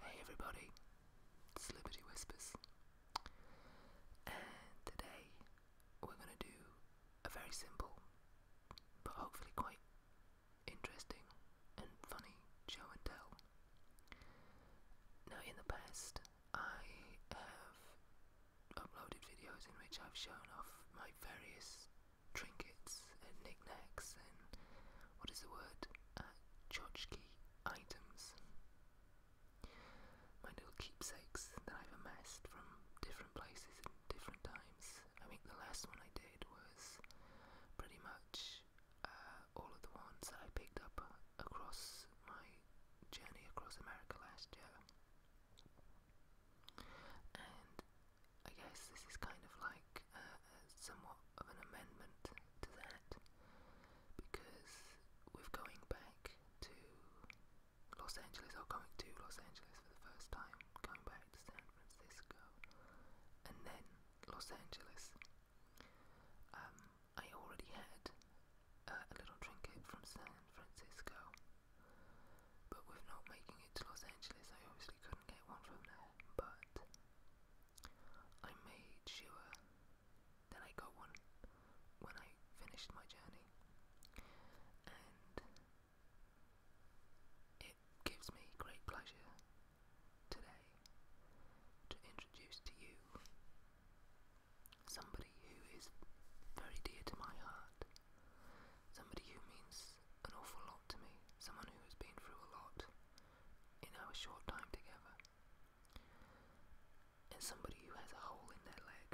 Hey everybody, it's Whispers, and today we're going to do a very simple but hopefully quite interesting and funny show and tell. Now, in the past, I have uploaded videos in which I've shown off my various trinkets and knickknacks and what is the word? Uh, items. My little keepsakes that I've amassed from different places and different times. I think the last one I did was pretty much uh, all of the ones that I picked up across my journey across America last year. And I guess this is kind of like uh, uh, somewhat of an amendment to that because we're going back to Los Angeles, or going to Los Angeles for the first time, going back to San Francisco, and then Los Angeles. Um, I already had a little trinket from San Francisco. But with not making it to Los Angeles, I obviously couldn't get one from there. But I made sure that I got one when I finished my journey. And it gives me great pleasure today to introduce to you somebody who is very dear to my heart, somebody who means an awful lot to me, someone who has been through a lot in our short time together, and somebody who has a hole in their leg,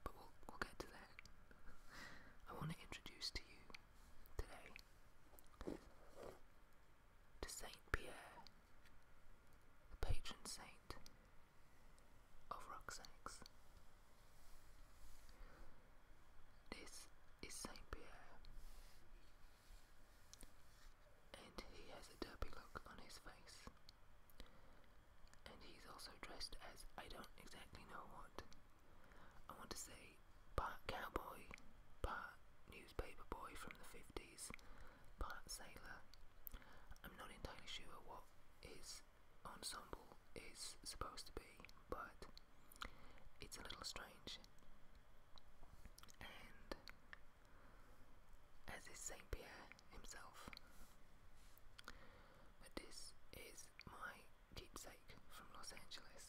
but we'll, we'll get to that. I want to introduce to you today to Saint Pierre, the patron saint of rucksacks. This is Saint Pierre, and he has a derpy look on his face. And he's also dressed as I don't exactly know what. I want to say but cowboy, part newspaper boy from the 50s, part sailor. I'm not entirely sure what his ensemble is supposed to be, but it's a little strange. And as is Saint Pierre himself. But this is my keepsake from Los Angeles,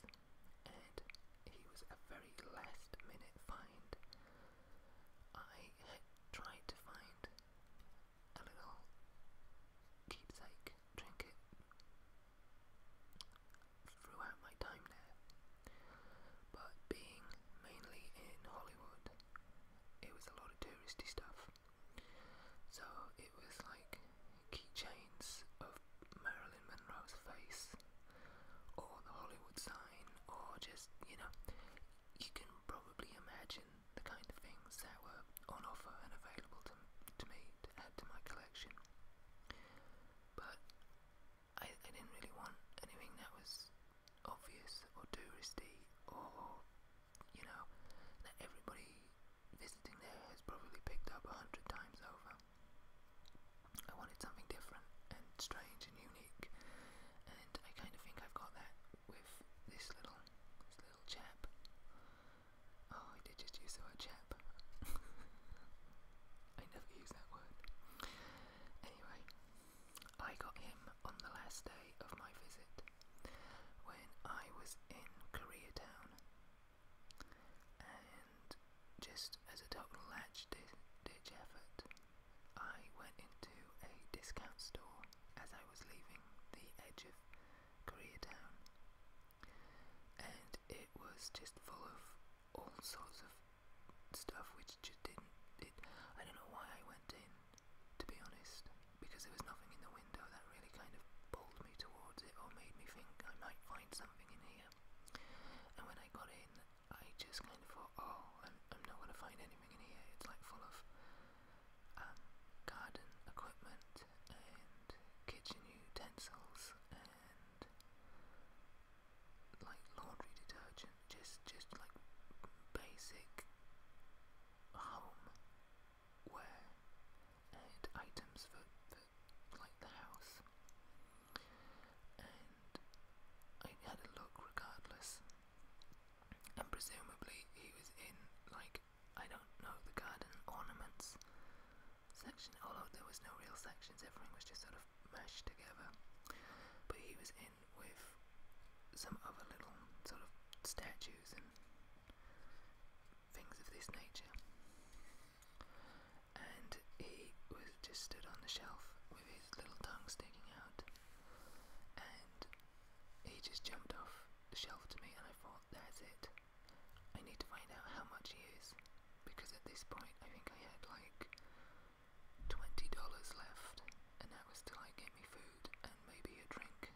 and he was a very last minute find. I tried to find a little keepsake trinket throughout my time there. But being mainly in Hollywood, it was a lot of touristy stuff. So it was like keychains of Marilyn Monroe's face, or the Hollywood sign, or just, you know, you can probably imagine the kind of things that were on offer and available to, to me to add to my collection. But I, I didn't really want anything that was obvious or touristy or, you know, that everybody visiting there has probably picked up a hundred times over. I wanted something different and strange and unique, and I kind of think I've got that with this little this little chap. Oh, I did just use the word chap. I never use that word. Anyway, I got him on the last day of my visit when I was in Koreatown. And just as a total latch ditch effort, I went into a discount store as I was leaving the edge of Koreatown, and it was just full of all sorts of stuff which just didn't. It, I don't know why I went in, to be honest, because there was nothing in the window that really kind of pulled me towards it or made me think I might find something in here. And when I got in, I just kind of thought, oh, I'm, not going to find anything in here. It's like full of um, garden equipment and kitchen utensils and like laundry detergent, just just like basic home wear and items for, for like the house. And I had a look regardless and presumably he was in, like, I don't know, the garden ornaments section, although there was no real sections, everything was just sort of mashed together. But he was in with some other little sort of statues and things of this nature. And he was just stood on the shelf with his little tongue sticking out. He just jumped off the shelf to me, and I thought, that's it. I need to find out how much he is, because at this point I think I had like twenty dollars left, and that was till I get me food and maybe a drink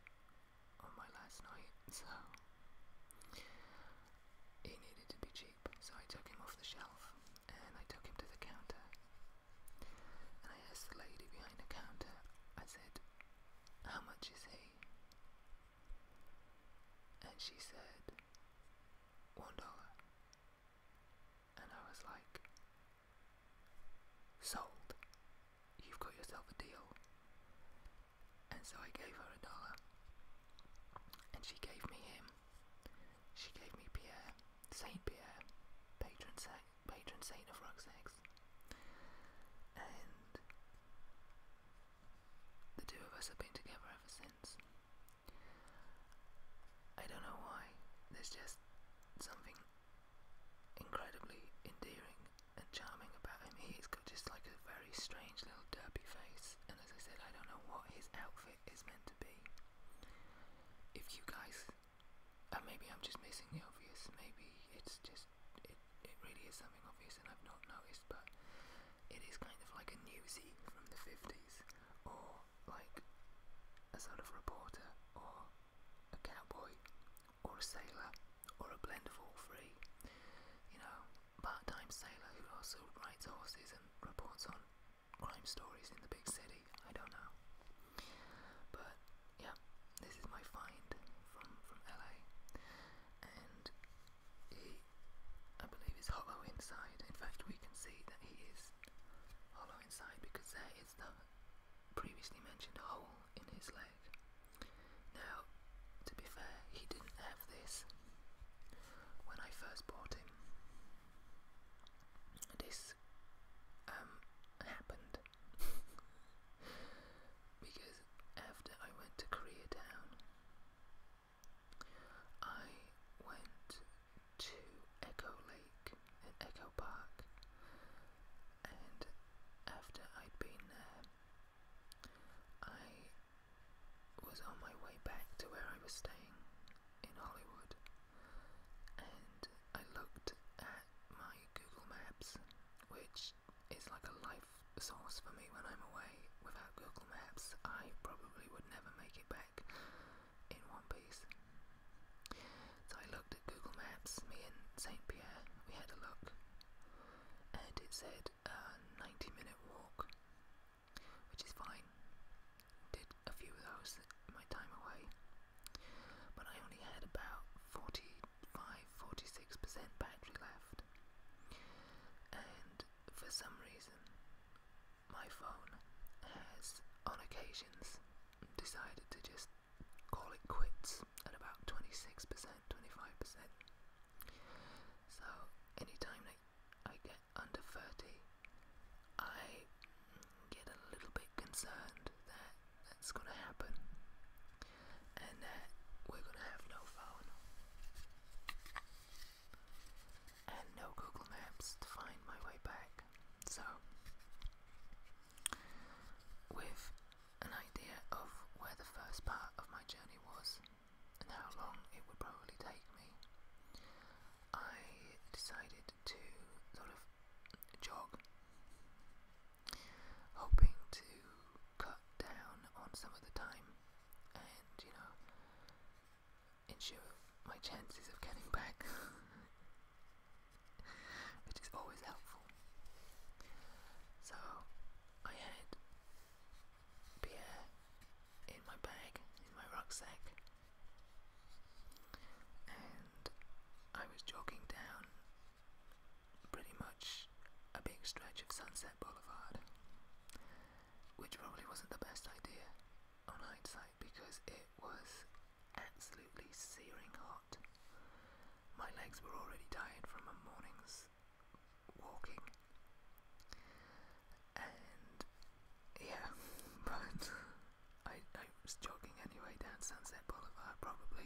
on my last night. So he needed to be cheap, so I took him off the shelf and I took him to the counter, and I asked the lady behind the counter, I said, How much is he? And she said, One dollar. And I was like, Sold. You've got yourself a deal. And so I gave her a dollar. And she gave me him. She gave me Pierre, Saint Pierre, patron saint patron saint of rucksacks. And the two of us have been together ever since. I don't know why, there's just something incredibly endearing and charming about him. He's got just like a very strange little derpy face, and as I said, I don't know what his outfit is meant to be. If you guys and uh, maybe I'm just missing the obvious, maybe it's just, it, it really is something obvious and I've not noticed, but it is kind of like a newsie from the 50s, or like a sort of reporter, or a cowboy, or a sailor, or a blend of all three. You know, part-time sailor who also rides horses and reports on crime stories in the big city. I don't know. But yeah, this is my find from from LA, and he, I believe, is hollow inside. In fact, we can see that he is hollow inside because there is the previously mentioned hole in his leg. Now, to be fair, he didn't have this when I first bought him. This um, happened because after I went to Koreatown I went to Echo Lake and Echo Park and after I'd been there I was on my way back to where I was staying in Hollywood and I looked at my Google Maps, which is like a life source for me when I'm away. Without Google Maps, I probably would never make it back in one piece. So I looked at Google Maps, me and St. Pierre, we had a look, and it said a uh, 90 minute walk, which is fine did a few of those my time away, but I only had about 45 46% battery left. And for some reason, my phone has, on occasions, decided to just call it quits at about 26%, 25%. So, anytime that I get under 30, I get a little bit concerned that that's going to happen and that we're going to have no phone and no Google Maps to find my way back. So, with an idea of where the first part of my journey was and how long it would probably take me, I decided to sort of jog, hoping to cut down on some of the time and, you know, ensure my chances of getting back, which is always helpful. So I had beer in my bag, in my rucksack, and I was jogging down pretty much a big stretch of Sunset Boulevard, which probably wasn't the best idea on hindsight because it was absolutely searing hot. My legs were already tired from a morning's walking, and yeah, but. I, was jogging anyway down Sunset Boulevard, probably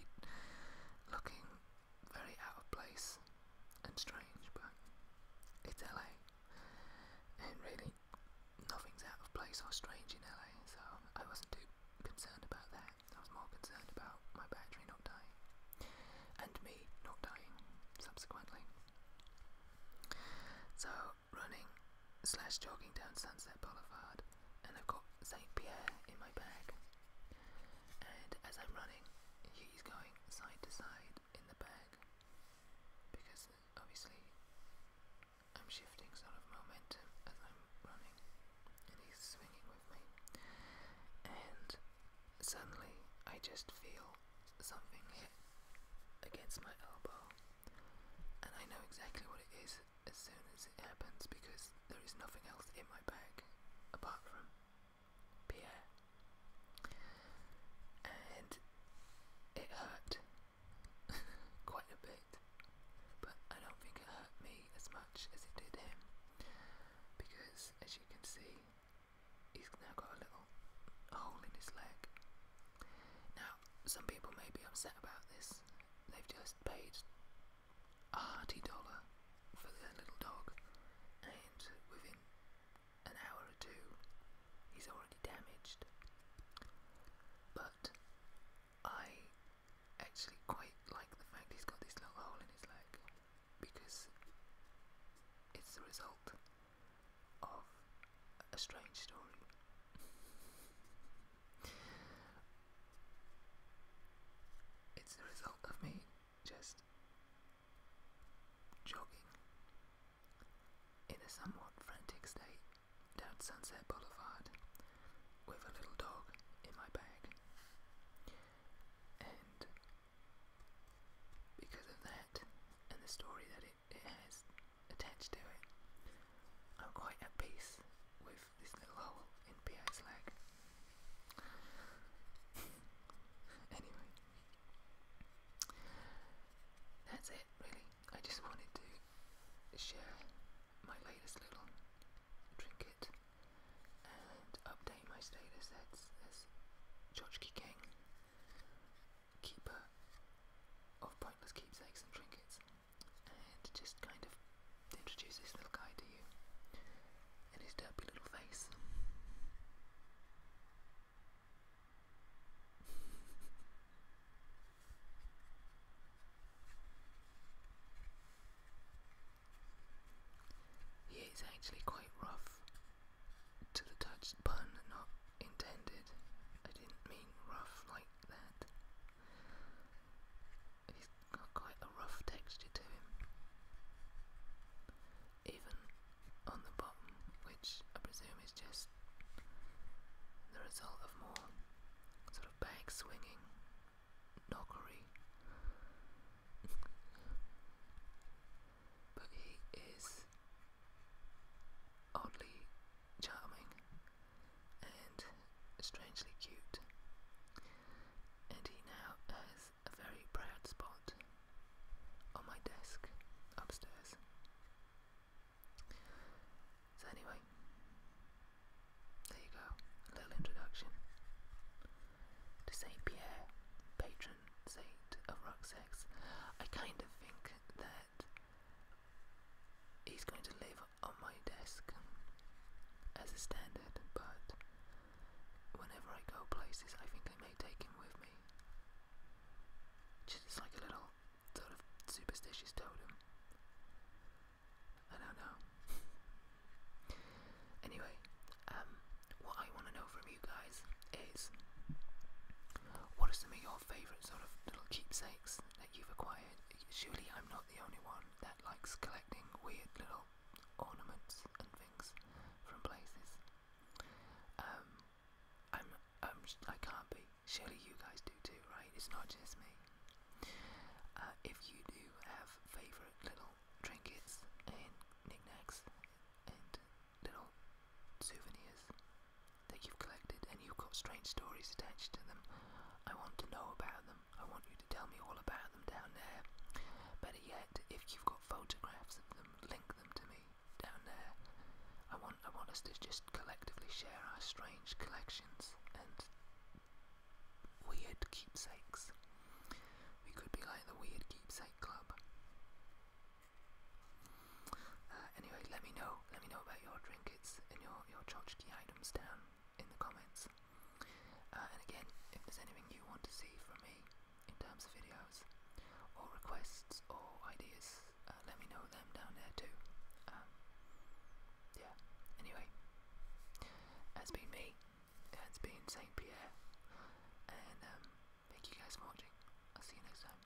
looking very out of place and strange, but it's LA, and really nothing's out of place or strange in LA, so I wasn't too concerned about that. I was more concerned about my battery not dying and me not dying subsequently. So running slash jogging down Sunset Boulevard and I've got St. Pierre in my bag. And as I'm running, he's going side to side in the bag because obviously I'm shifting sort of momentum as I'm running and he's swinging with me. And suddenly I just feel something hit against my elbow and I know exactly what it is as soon as it happens because there is nothing else in my bag apart from Pierre. And it hurt quite a bit, but I don't think it hurt me as much as it did him because, as you can see, he's now got a little hole in his leg. Now, some people may be upset about this, is they've just paid a hearty dollar for their little dog, and within an hour or two, he's already damaged. But I actually quite like the fact he's got this little hole in his leg because it's the result of a strange story. It's the result of me just jogging in a somewhat frantic state down Sunset Boulevard with a little dog in my bag. And because of that, and the story that it it has attached to it. I'm quite at peace with this little hole in PA's leg. anyway, that's it really. I just wanted to share my latest little trinket and update my status as, as Chotchki King, keeper of pointless keepsakes and trinkets and just kind of introduce this little guy to you and his derpy little face. he is actually quite rough to the touch, pun not intended. I didn't mean rough like that. He's got quite a rough texture to him. Even on the bottom, which I presume is just the result of more sort of bag swinging knockery. but he is oddly charming and strangely cute. And he now has a very proud spot on my desk upstairs. So, anyway, there you go, little introduction to Saint Pierre, patron saint of Rocksex. I kind of think that He's going to leave on my desk as a standard, but whenever I go places, I think I may take him with me. Just like a little sort of superstitious totem. I don't know. anyway, um, what I want to know from you guys is what are some of your favourite sort of little keepsakes that you've acquired. Surely I'm not the only one that likes collecting weird little ornaments and things from places. Um, I am i can not be. Surely you guys do too, right? It's not just me. Uh, if you do have favourite little trinkets and knickknacks and little souvenirs that you've collected and you've got strange stories attached to them. I want to know about them. I want you to tell me all about them down there. Better yet, if you've got photographs of them, link them to me down there. I want I want us to just collectively share our strange collections and weird keepsakes. We could be like the Weird Keepsake Club. Uh, anyway, let me know. Let me know about your trinkets and your your tchotchke items down in the comments. Uh, and again, if there's anything you want to see from me in terms of videos or requests or ideas, uh, let me know them down there too. Um, yeah. Anyway, that's been me. that has been Saint Pierre, and um, thank you guys for watching. I'll see you next time.